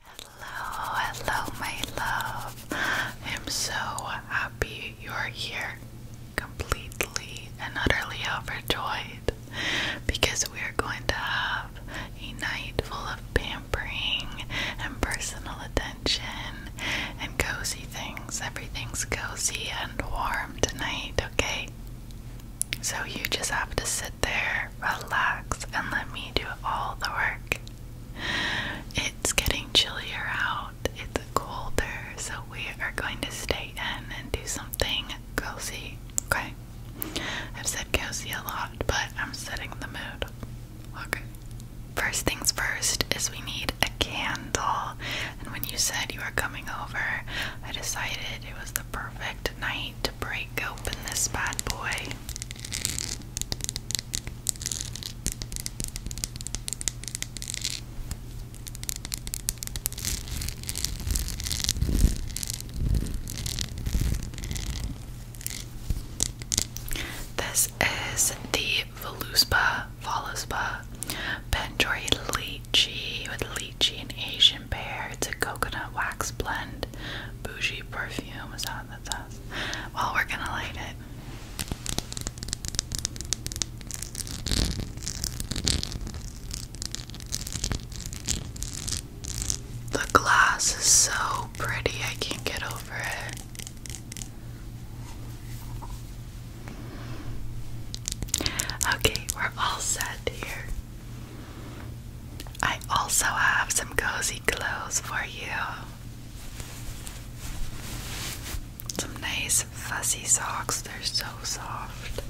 Hello, hello, my love. I'm so happy you're here, completely and utterly overjoyed because we are going to have a night full of pampering and personal attention and cozy things. Everything's cozy and warm tonight, okay? So you just have to sit there relax, and let me do all the work. It's getting chillier out, it's colder, so we are going to stay in and do something cozy, okay? I've said cozy a lot, but I'm setting the mood. Okay. First things first is we need a candle. And when you said you were coming over, I decided it was the perfect night break open this bad boy. This is the Voluspa, Voluspa, Pendori lychee with lychee and Asian pear. It's a coconut wax blend. Bougie perfume is that what that Well, we're gonna light it. The glass is so pretty, I can't get over it. Okay, we're all set here. I also have some cozy clothes for you. Some nice fuzzy socks, they're so soft.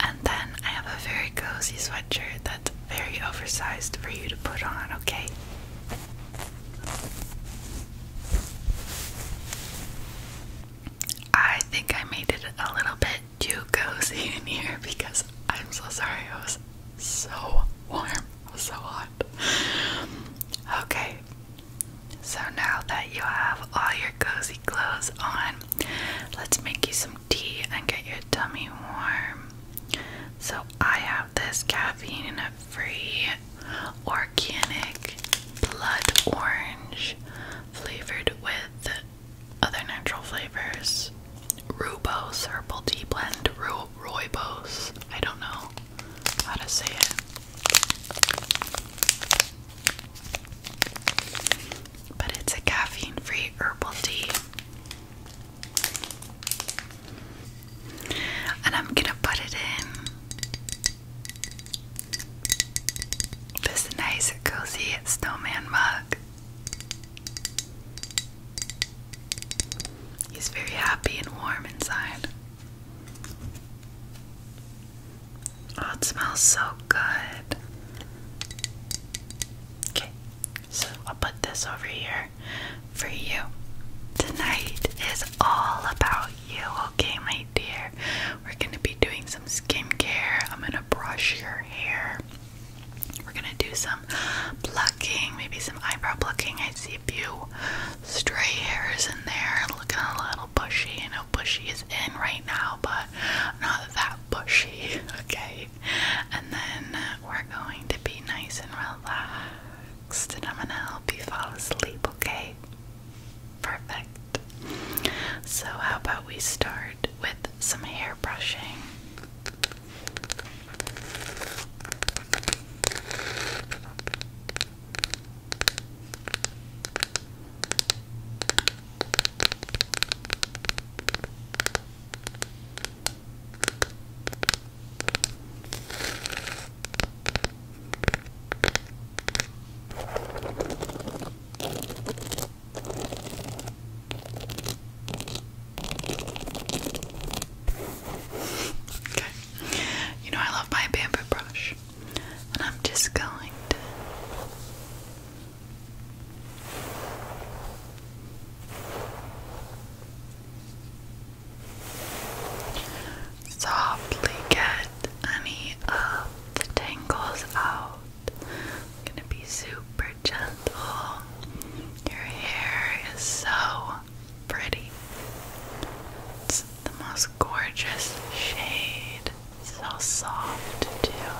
And then I have a very cozy sweatshirt that's very oversized for you to put on, okay? I think I made it a little bit too cozy in here because I'm so sorry. I was so warm. so hot. Okay. So now that you have all your cozy clothes on, let's make you some tea and get your tummy warm. So I have this caffeine free organic blood orange flavored with other natural flavors Rubose Herbal Tea Blend, Ro Roibos. I don't know how to say it. But it's a caffeine free herbal tea. And I'm gonna put it in this nice, cozy snowman mug. He's very happy and warm inside. Oh, it smells so good. Okay, so I'll put this over here for you. Tonight is all about you, okay, my dear. We're gonna be doing some skincare. I'm gonna brush your hair. We're gonna do some plucking, maybe some eyebrow plucking. I see a few stray hairs in there, looking a little bushy. I know bushy is in right now, but not that bushy, okay? And then uh, we're going to be nice and relaxed, and I'm gonna help you fall asleep, okay? Perfect. So, how about we start with some hair brushing? Okay. You know I love my bamboo brush. And I'm just going to softly get any of the tangles out. I'm gonna be super gentle. Your hair is so pretty. It's the most gorgeous shade. So soft too.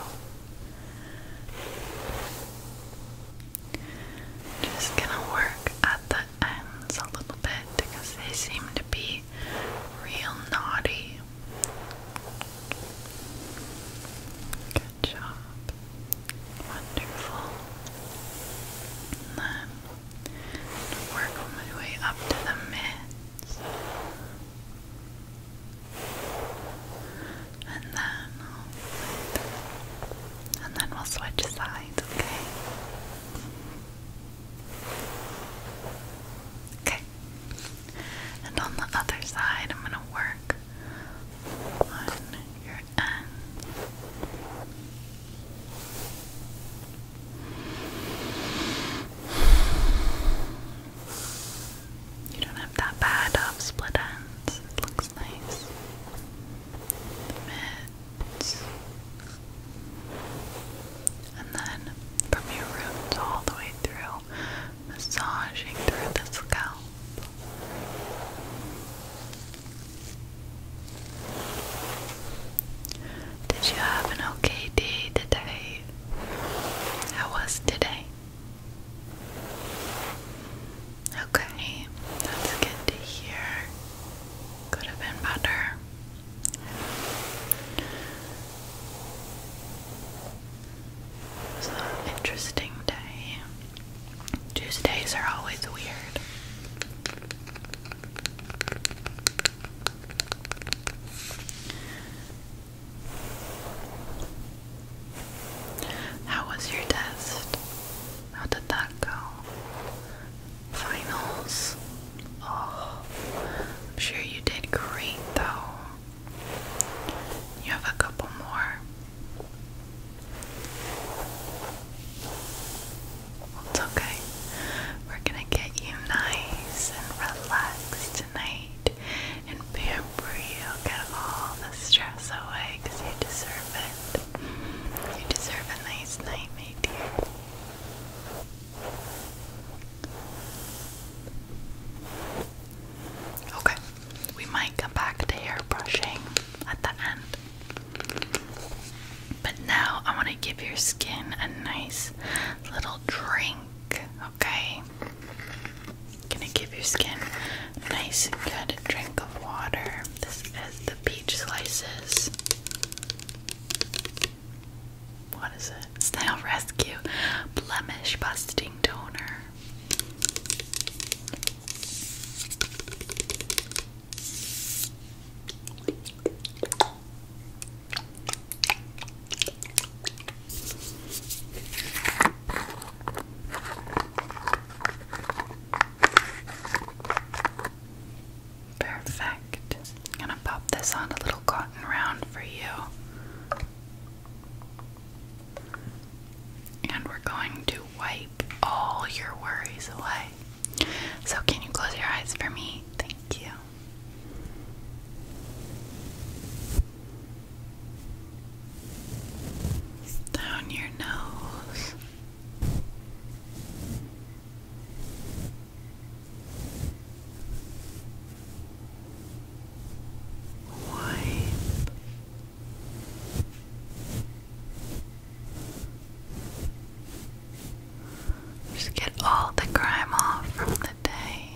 Just gonna work at the ends a little bit because they seem to be real naughty Good job. Wonderful. then work my way up to the mids. And then and then we'll switch sides, okay? Okay. And on the other side, I'm going to work on your end. You don't have that bad of split ends. It looks nice. The mids and then from your roots all the way through, massaging through the scalp. Did you have an okay day today? How was today? Okay, that's good to hear. Could have been better. So interesting day. Tuesdays are always weird. How was your test? How did that go? Finals? I'm sure you did great though. You have a couple more. It's okay. We're gonna get you nice and relaxed tonight and pamper you. Get all the stress away you deserve it. You deserve a nice night, my dear. Okay, we might come back to hair brushing at the end. But now I want to give your skin a nice little drink, okay? Gonna give your skin a nice, good drink of water. This is the peach slices what is it? Snail Rescue Blemish Busting Toner. Perfect. I'm gonna pop this on a little cotton round for you. And we're going to wipe all your worries away. So, can you close your eyes for me? Thank you. Down your nose. Wipe. Just get all the grime off from the day.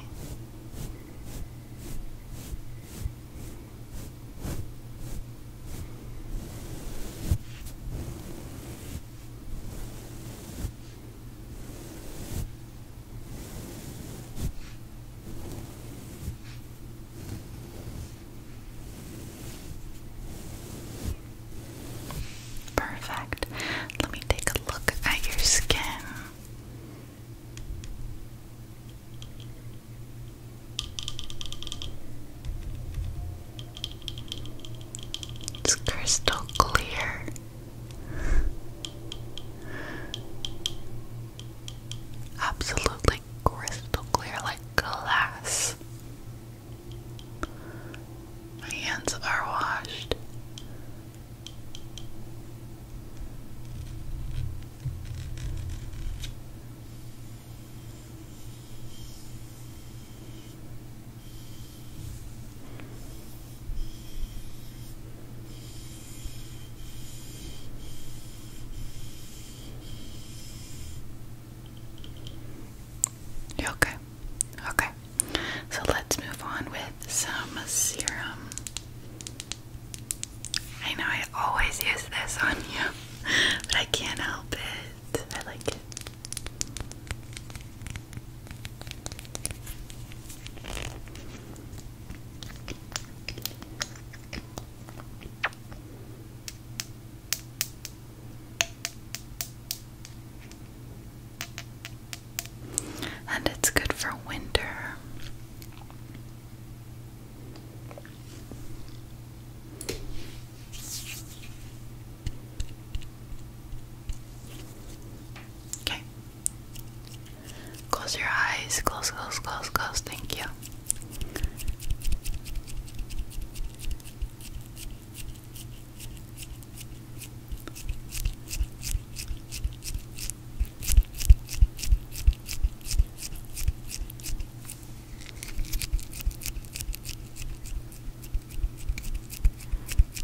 Perfect. Let me take a look at your skin. It's crystal clear. Absolutely crystal clear, like glass. My hands are washed. Okay, okay. So let's move on with some serum. I know I always use this on you, but I can't help it. I like it. And it's good for winter. Okay. Close your eyes. Close, close, close, close. Thank you.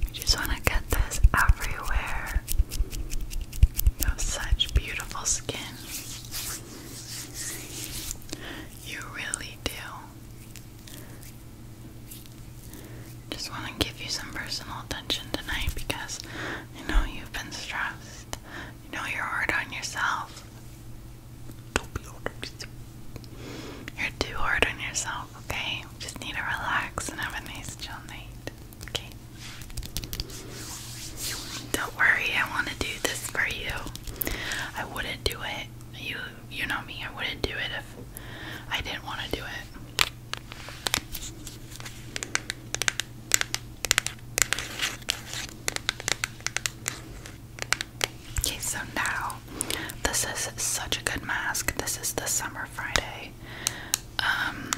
I just want to get this everywhere. You have such beautiful skin. You really do. Just want to give you some personal attention tonight because I know you've been stressed. You know you're hard on yourself. Don't be hard on yourself. You're too hard on yourself okay? Just need to relax and have a nice chill night, okay? Don't worry, I want to do this for you. I wouldn't do it. You, you know me. I wouldn't do it if I didn't want to do it. Okay, so now this is such a good mask. This is the Summer Friday um,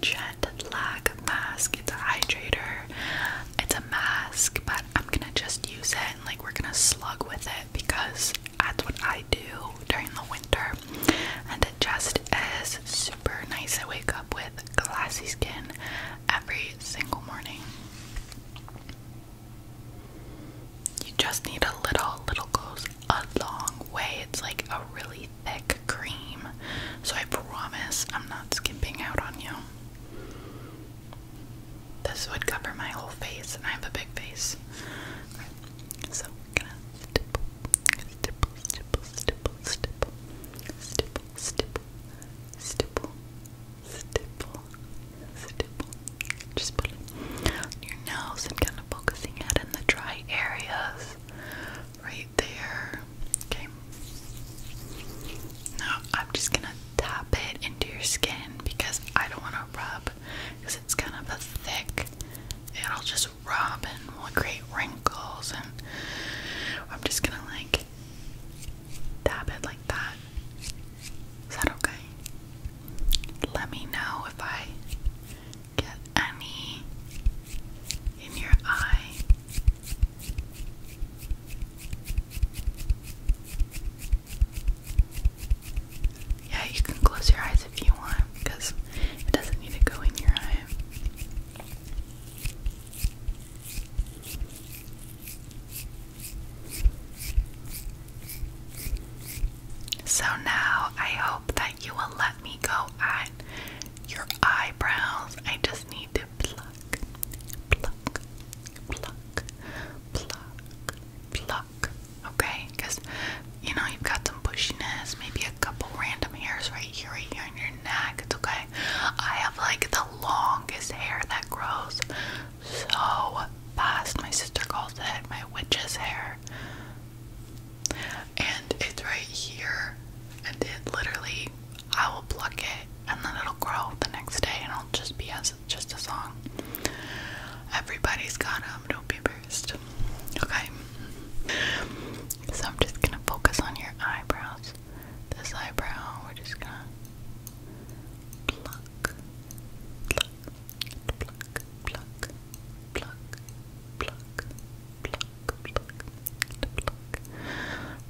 Jet Lag mask. It's a hydrator. It's a mask, but I'm gonna just use it and like we're gonna slug with it because that's what I do during the winter. And it just is super nice. I wake up with glassy skin every single morning. You just need a little, little goes a long way. It's like a really thick cream. So I promise I'm not skimping out on you. This would cover my whole face, and I have a big face. so I'm gonna stipple, stipple, stipple, stipple, stipple, stipple, stipple, stipple, stipple, stipple. Just put it on your nose and kind of focusing it in the dry areas right there. Okay. Now I'm just gonna tap it into your skin because I don't want to rub because it's kind of a thick. It'll just rub and create wrinkles and I'm just gonna like tap it like that is that okay? Let me know if I get any in your eye. Yeah, you can close your eyes if you want because it doesn't need to go in your eye. So now I hope that you will let me go at your eyebrows. I just need to pluck, pluck, pluck, pluck, pluck. Okay? Because you know you've got some bushiness, maybe a couple random hairs right here, right here on your neck. It's okay. I have like the longest hair that grows so fast. My sister calls it my witch's hair. And it's right here. And it literally, I will pluck it and then it'll grow the next day and it'll just be as just a song. Everybody's got them, don't be embarrassed. Okay. So I'm just gonna focus on your eyebrows. This eyebrow, we're just gonna pluck pluck, pluck, pluck, pluck, pluck, pluck, pluck, pluck, pluck,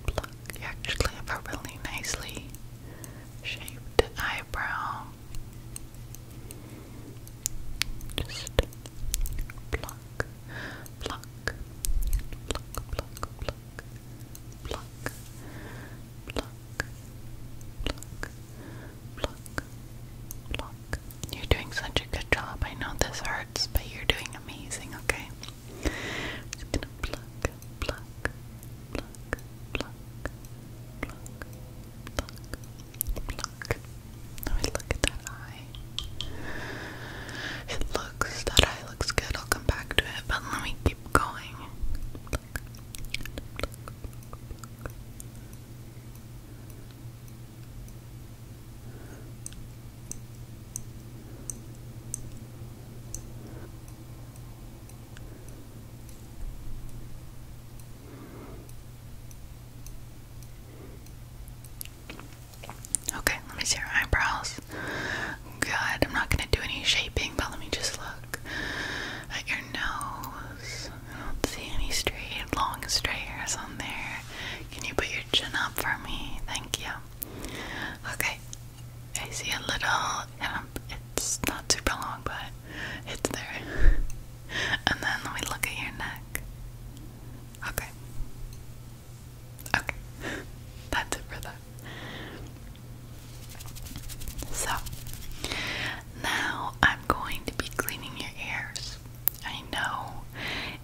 pluck. You actually have a really nicely shaped eyebrow. Just pluck, pluck, pluck, pluck, pluck, pluck, pluck, pluck, pluck, pluck, pluck. You're doing such a good job. I know this hurts, but you're doing amazing, okay? pluck, pluck, pluck, pluck, pluck, pluck, pluck. Now look at that eye. It looks, that eye looks good. I'll come back to it, but let me keep going. Okay, let me see your eyebrows. Good. I'm not gonna do any shaping, but let me just look at your nose. I don't see any straight, long straight hairs on there. Can you put your chin up for me? Thank you. Okay, I see a little It's not super long, but it's there. and then we look at your neck. Okay. Okay. That's it for that. So, now I'm going to be cleaning your ears. I know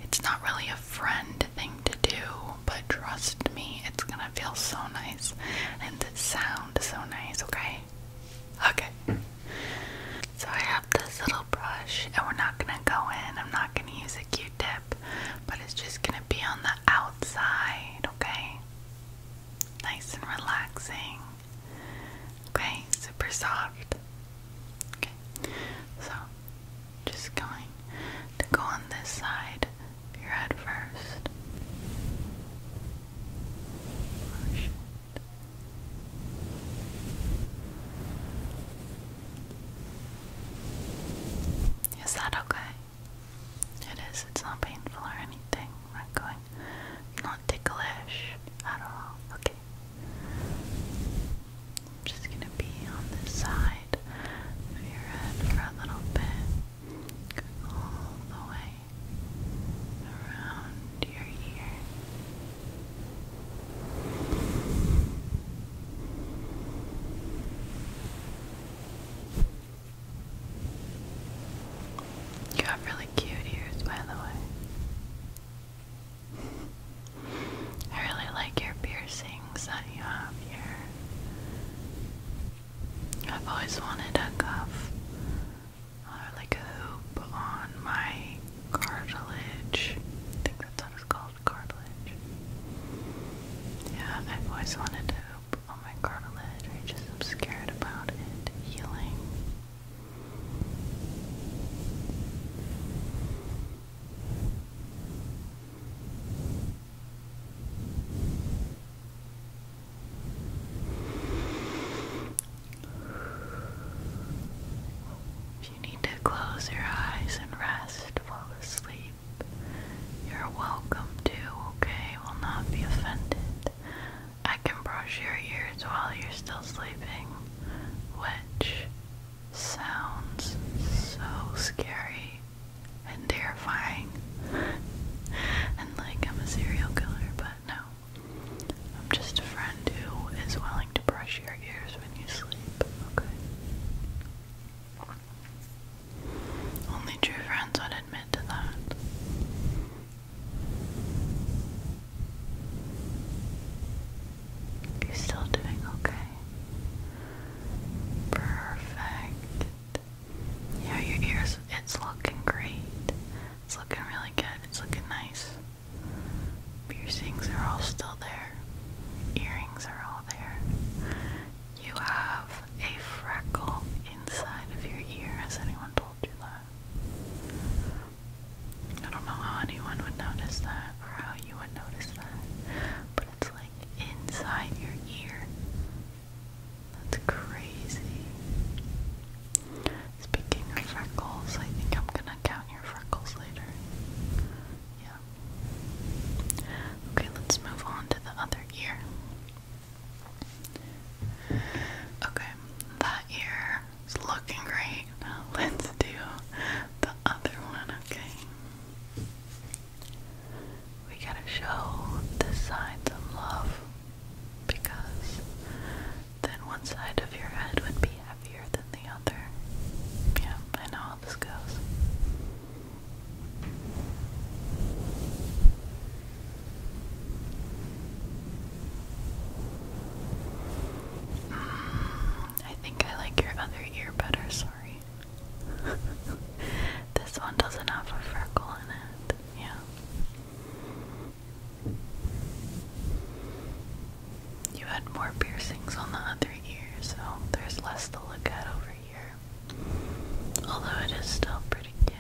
it's not really a friend thing to do, but trust me, it's gonna feel so nice and the sound is so nice, okay? Okay. So, I have this little brush, and we're not gonna go in, I'm not gonna use a q tip, but it's just gonna be on the outside, okay? nice and relaxing. Okay, super soft. Okay, so just going to go on this side your head first. Oh, Is that okay? It is, it's not painful or anything. not going, not ticklish at all. Okay. I'm just gonna be on this side of your head for a little bit. All the way around your ear. You have really cute ears, by the way. I really like your piercings that you have here. I've always wanted a cuff or like a hoop on my cartilage. I think that's what it's called, cartilage. Yeah, I've always wanted a goop oh my cartilage. I just am scared about it healing. If you need to close your eyes and rest, fall asleep. You're welcome to, okay? Will not be offended. I can brush your ears while you're still sleeping, which sounds so scary and terrifying. and like I'm a serial killer, but no. I'm just a friend who is willing to brush your ears when you sleep, okay? Only true friends would admit to that. you still doing okay. Perfect. Yeah, your ears, it's looking great. It's looking really good. It's looking nice. Piercings are all still there. Earrings are all there. You have a freckle inside of your ear. Has anyone told you that? I don't know how anyone would notice that or how you would notice that, but it's like inside your ear. That's crazy. Speaking of freckles, I think I'm gonna count your freckles later. Yeah, Okay, let's move on to the other ear. Okay, that ear is looking great. Now let's do the other one, okay? We gotta show this side some love because then one side of your head would be heavier than the other. Yeah, I know this I think I like your other ear better, sorry. this one doesn't have a freckle in it, yeah. You had more piercings on the other ear, so there's less to look at over Although it is still pretty cute.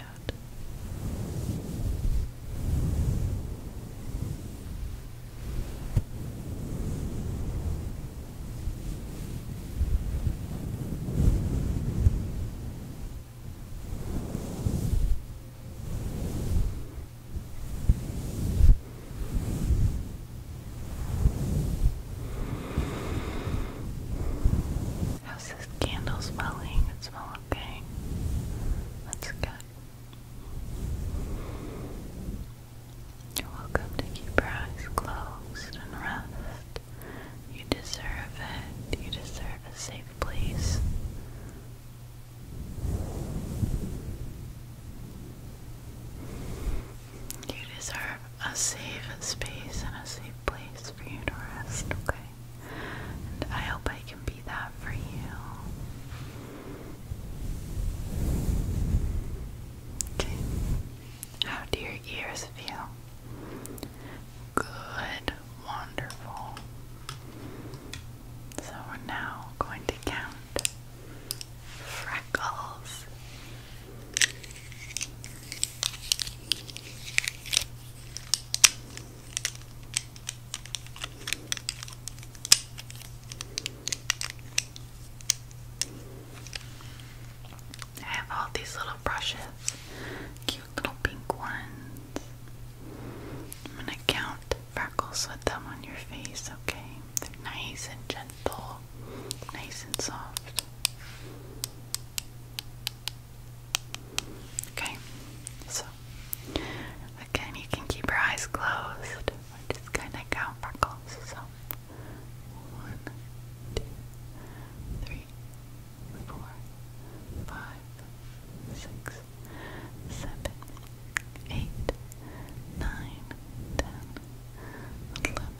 How's this candle smelling? It smells okay. That's good. You're welcome to keep your eyes closed and rest. You deserve it. You deserve a safe place. You deserve a safe space and a safe place for you to rest, okay? And I hope I can be that for you. Okay. How do your ears feel? Good. Wonderful. So we're now going to count freckles. I have all these little brushes, cute little pink ones. I'm gonna count freckles with them on your face, okay? They're nice and gentle, nice and soft. Okay, so again, you can keep your eyes closed. We're just gonna count freckles. So one, two, three, four, five, six, seven, eight, nine, ten, eleven.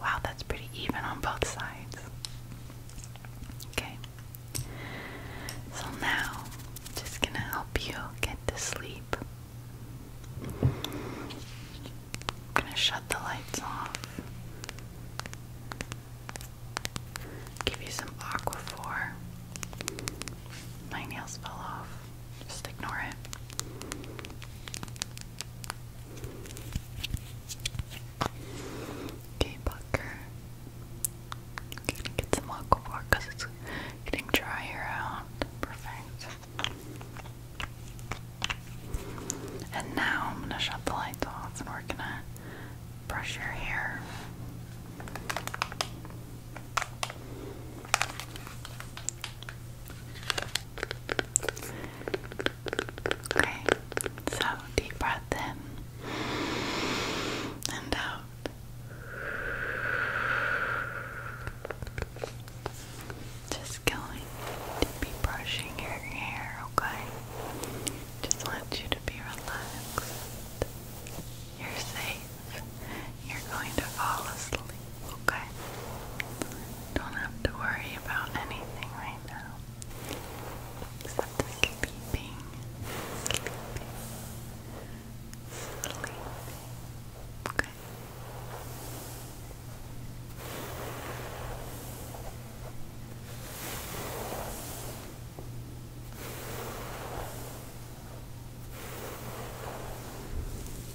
Wow, that's pretty even on both sides. Okay. So now, just gonna help you get to sleep. I'm gonna shut the lights off. Give you some aquaphor. My nails fell off. Just ignore it. Okay, Bucker. going get some local because it's getting drier out. Perfect. And now I'm gonna shut the lights off and we're gonna brush your hair. Okay, so deep breath in and out. Just going to be brushing your hair, okay? Just want you to be relaxed. You're safe. You're going to fall asleep okay? Don't have to worry about anything right now. Except sleeping. Sleeping. Sleeping. Okay.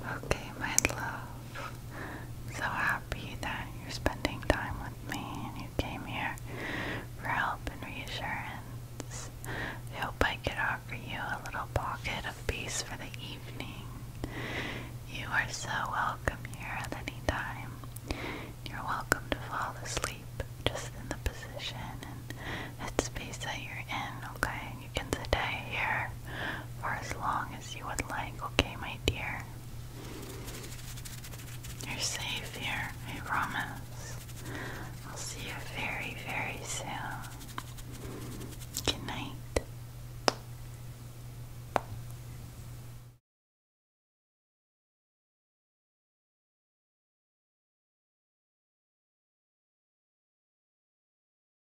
Okay, my love. So happy that you're spending time with me and you came here for help and reassurance. I hope I can offer you a little pocket of peace for the evening. You are so welcome here at any time. You're welcome to fall asleep just in the position and space that you're in, okay? the day here for as long as you would like, okay, my dear? You're safe here, I promise. I'll see you very, very soon. Good night.